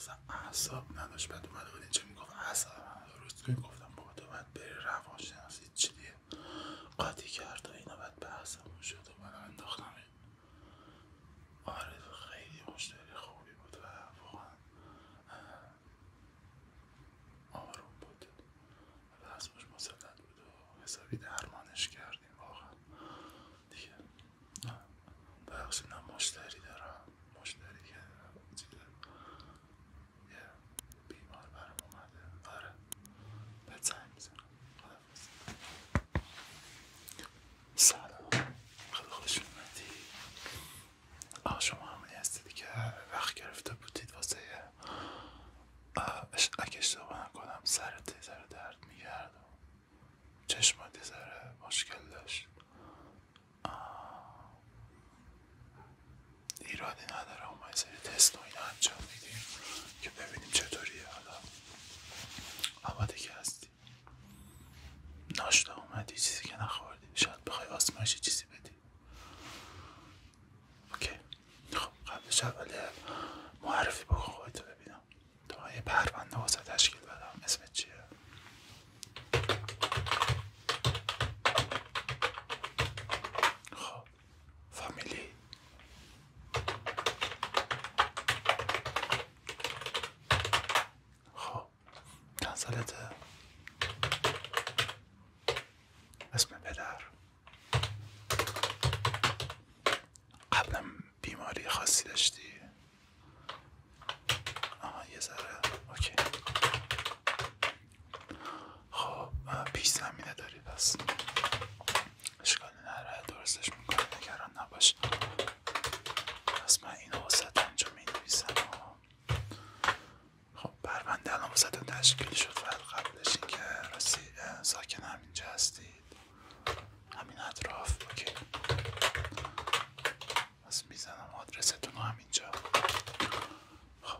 اصلا اعصاب نداشت بعد اومده بود چه میگفت اعصاب روز گفتم بابا تو باید بری روانشناسی چیه قاطی کرد و اینا بعد بحثمون شد و من انداختم آره خیلی مشتری خوبی بود و واقعا آروم بود و حسبش مسلط و حسابی درمانش کردیم واقعا دیگه بخشی نه مشتری دارم مشتری که بیمار برام اومده آره بهت سلام خوش آ شما همونی هستید که وقت گرفته بودید واسه اگه اشتباه کنم سرت سر درد میگرد و چشمات یه ذره مشکل داشت ایرادی نداره ما سری تست و اینا انجام میدیم که ببینیم چطوریه حالا اما که هستی ناشتا اومدی چیزی که نخوردی شاید بخوای آسمایش چیزی بدی اوکی خب قبلش اول معرفی بکن ببینم تو های پرونده واسه تشکیل بدم اسمت چیه خب فامیلی خب چند سالته اسم پدر قبلم بیماری خاصی داشتی اما یه ذره اوکی خب پیش زمینه داری پس شکال نره درستش میکنه نگران نباش پس من این وسط اینجا مینویسم خب پرونده الان واسهتون تشکیل شد قبلشین که اینکه ساکن همینجا هستید همین اطراف اوکی بس میزنم آدرستون رو همینجا خب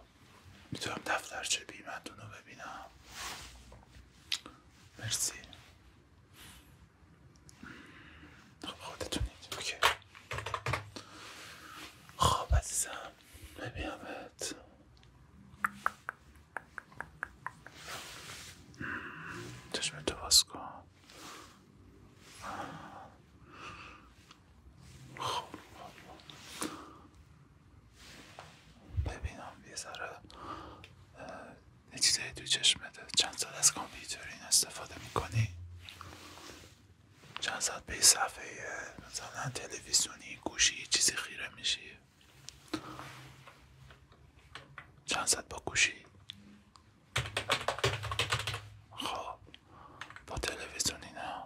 میتونم دفترچه بیمتون رو ببینم مرسی خب خودتونید اوکی خب عزیزم ببینمت چشم تو باز کن خب، خب، خب. ببینم یه ذره دو چیزایی توی چند سال از کامپیوترین استفاده میکنی چند بهی به صفحه مثلا تلویزیونی گوشی چیزی خیره میشی چند با گوشی خب با تلویزیونی نه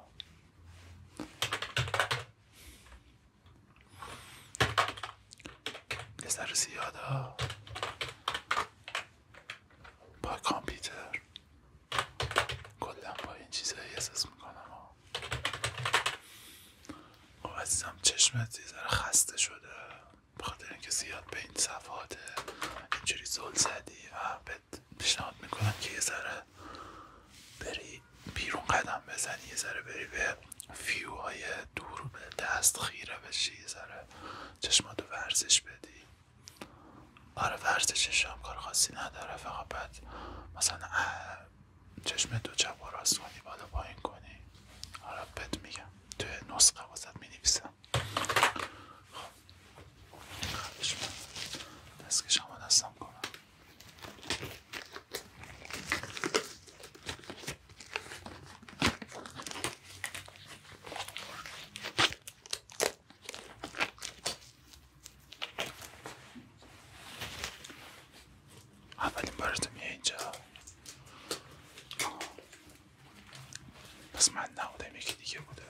یه سر زیاده با کامپیوتر کلا با این رو احساس میکنم و خب عزیزم چشمت یه ذره خسته شده بخاطر اینکه زیاد به این صفحات اینجوری زل زدی و بهت پیشنهاد میکنم که یه ذره بری بیرون قدم بزنی یه ذره بری به فیو های دور به دست خیره بشی یه ذره چشماتو ورزش بدی آره ورزش هم کار خاصی نداره فقط بعد مثلا چشم دو چپ و راست کنی بالا پایین کنی آره بد میگم تو نسخه واسط مینویسم خب دستم کنم اولین بارت میای اینجا پس من نبودم یکی دیگه بوده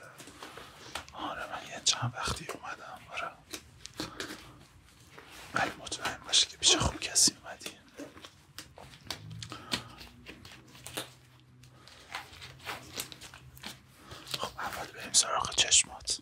آره من یه چند وقتی اومدم آره ولی مطمئن باشه که بیشه خوب کسی اومدی خب اول بریم سراغ چشمات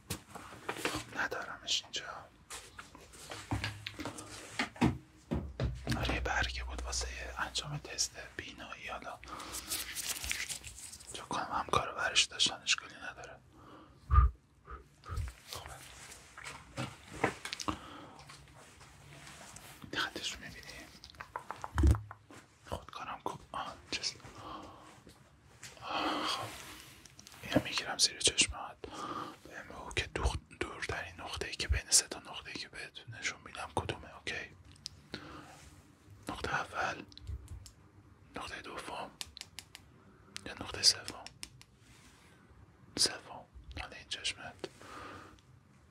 خب ندارمش اینجا آره برگه بود واسه انجام تست بینایی حالا چون کنم همکارو برش داشتن اشکالی نداره خوبه خطش رو میبینی خودکارم کوب خب یه میگیرم زیر چشمت بهم دور که داری نقطه ای که بین سه تا نقطه ای که بهت نشون میدم کدومه اوکی نقطه اول نقطه دوم یا نقطه سوم سوم حالا این چشمت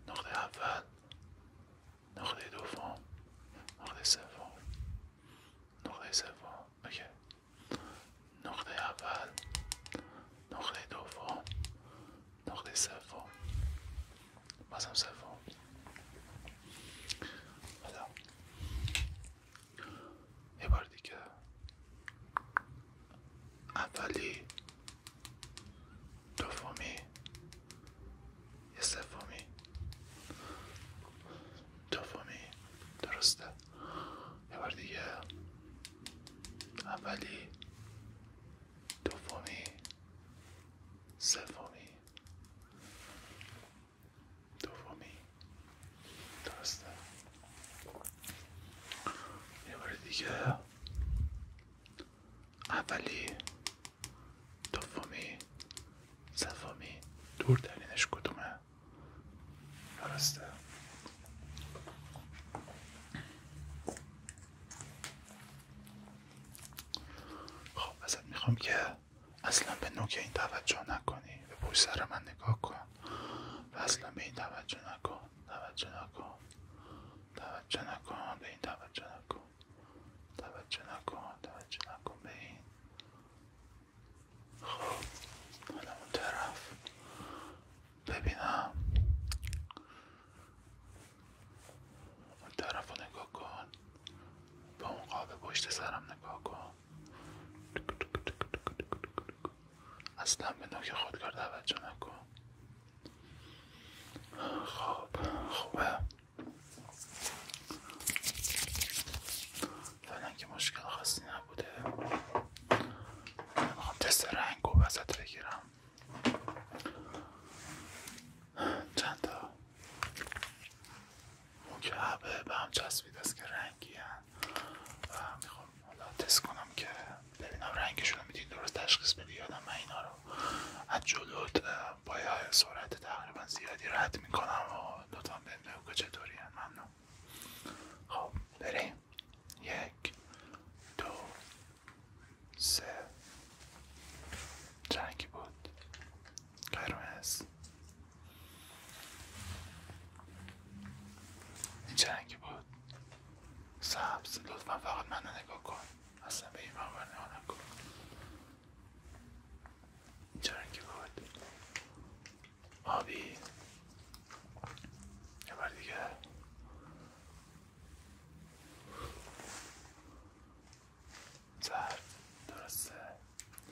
نقطه اول نقطه دوم نقطه سوم نقطه سوم اوکی نقطه اول نقطه دوم نقطه سوم بازم سوم حالا یه بار دیگه اولی دومی یه سومی دومی درسته یه بار دیگه اولی دومی سومی دومی درسته یه بار دیگه اولی دومی سومی دور ترینش کدومه درسته خب ازت میخوام که اصلا به نوک این توجه نکنی به پشت سر من نگاه کن و اصلا به این توجه نکن توجه نکن توجه نکن به این توجه نکن توجه نکن توجه نکن به این خب حالا اون طرف ببینم اون طرف رو نگاه کن با اون قاب پشت سرم نگاه کن اصلا به نوک خودکار توجه نکن خب خوبه فعلا که مشکل خاصی نبوده میخوام تست رنگ و وسط بگیرم چند تا مکعبه به هم چسبید است که رنگی هست و میخوام حالا تست کنم که ببینم رنگشون رو میدین درست تشخیص بدی یادم من اینا رو از جلوت با سرعت تقریبا زیادی رد میکنم و دو تا که چطوری هن. ممنون خب بریم یک دو سه رنگی بود قرمز این چه رنگی بود سبز لطفا فقط منو نگاه کن اصلا به این مقبر نگاه نکن این چه بود آبی یه بار دیگه زرد درسته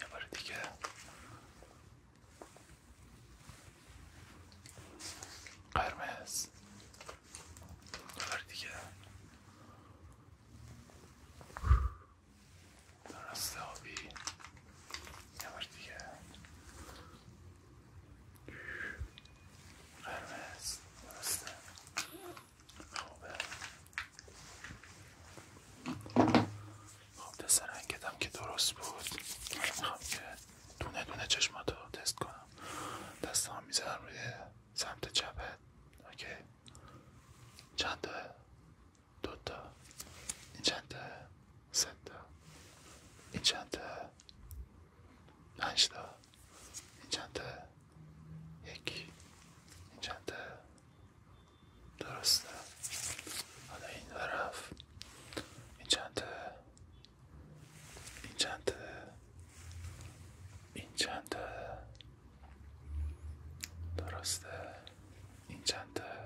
یه دیگه قرمز یه بار دیگه درست آبی یه دیگه قرمز درسته خوبه خب دست رنگتم که درست بود میخوام که دونه دونه رو تست کنم دست هم میزنم روی سمت چپت اوکی چند دوتا این چند تا سه تا این چند تا این چند یک این چند درسته حالا این طرف این چند تا این چند این چند درسته این چند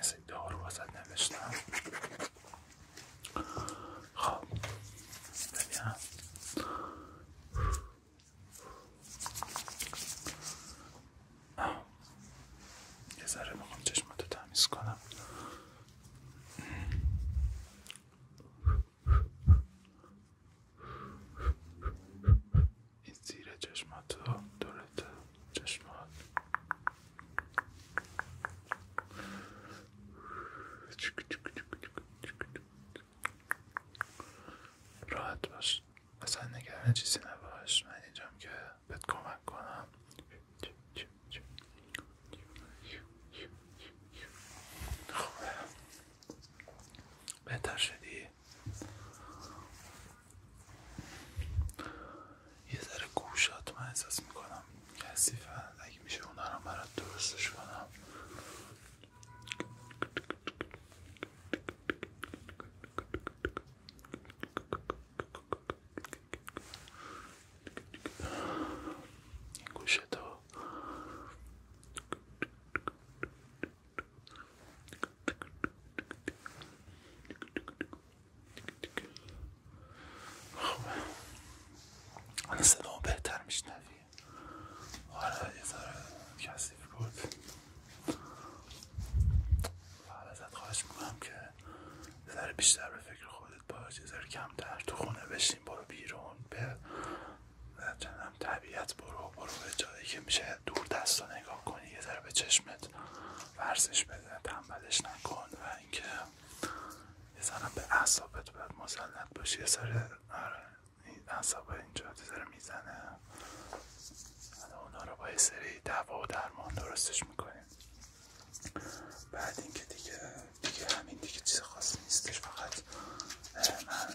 از ادعا رو واسد نوشتم خب ببینم یه ذره میخوام تمیز کنم این زیر چشماتو دورت چشمات راحت باش اصلا نگران چیزی نباش من اینجام که بهت کمک کنم خوبه بهتر شدی یه ذره گوشات من احساس میکنم کسیفه اگه میشه اونها رو برات درستش کنم ها خب صدا بهتر میشنوی حالا آره، یه ذره کسیف بود و ازت خواهش میکنم که یه بیشتر به فکر خودت باش یه کمتر تو خونه بشین برو بیرون به طبیعت برو برو به جایی که میشه دور دست رو نگاه کن یه ذره به چشمت ورزش بده تنبلش نکن و اینکه یه ذره به اعصابت باید مسلط باشی یه ذره آره این اینجا یه میزنه حالا رو با یه سری دوا و درمان درستش میکنیم بعد اینکه دیگه دیگه همین دیگه چیز خاصی نیستش فقط من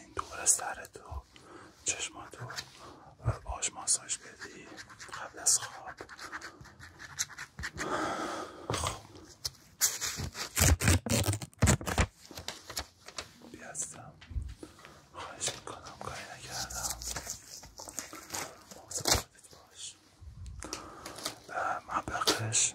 این دور از سرت تو چشماتو باش ماساژ بدی قبل از خواب خب بیاستم خواهش میکنم کاری نکردم مواظب خودت باش به مبلغش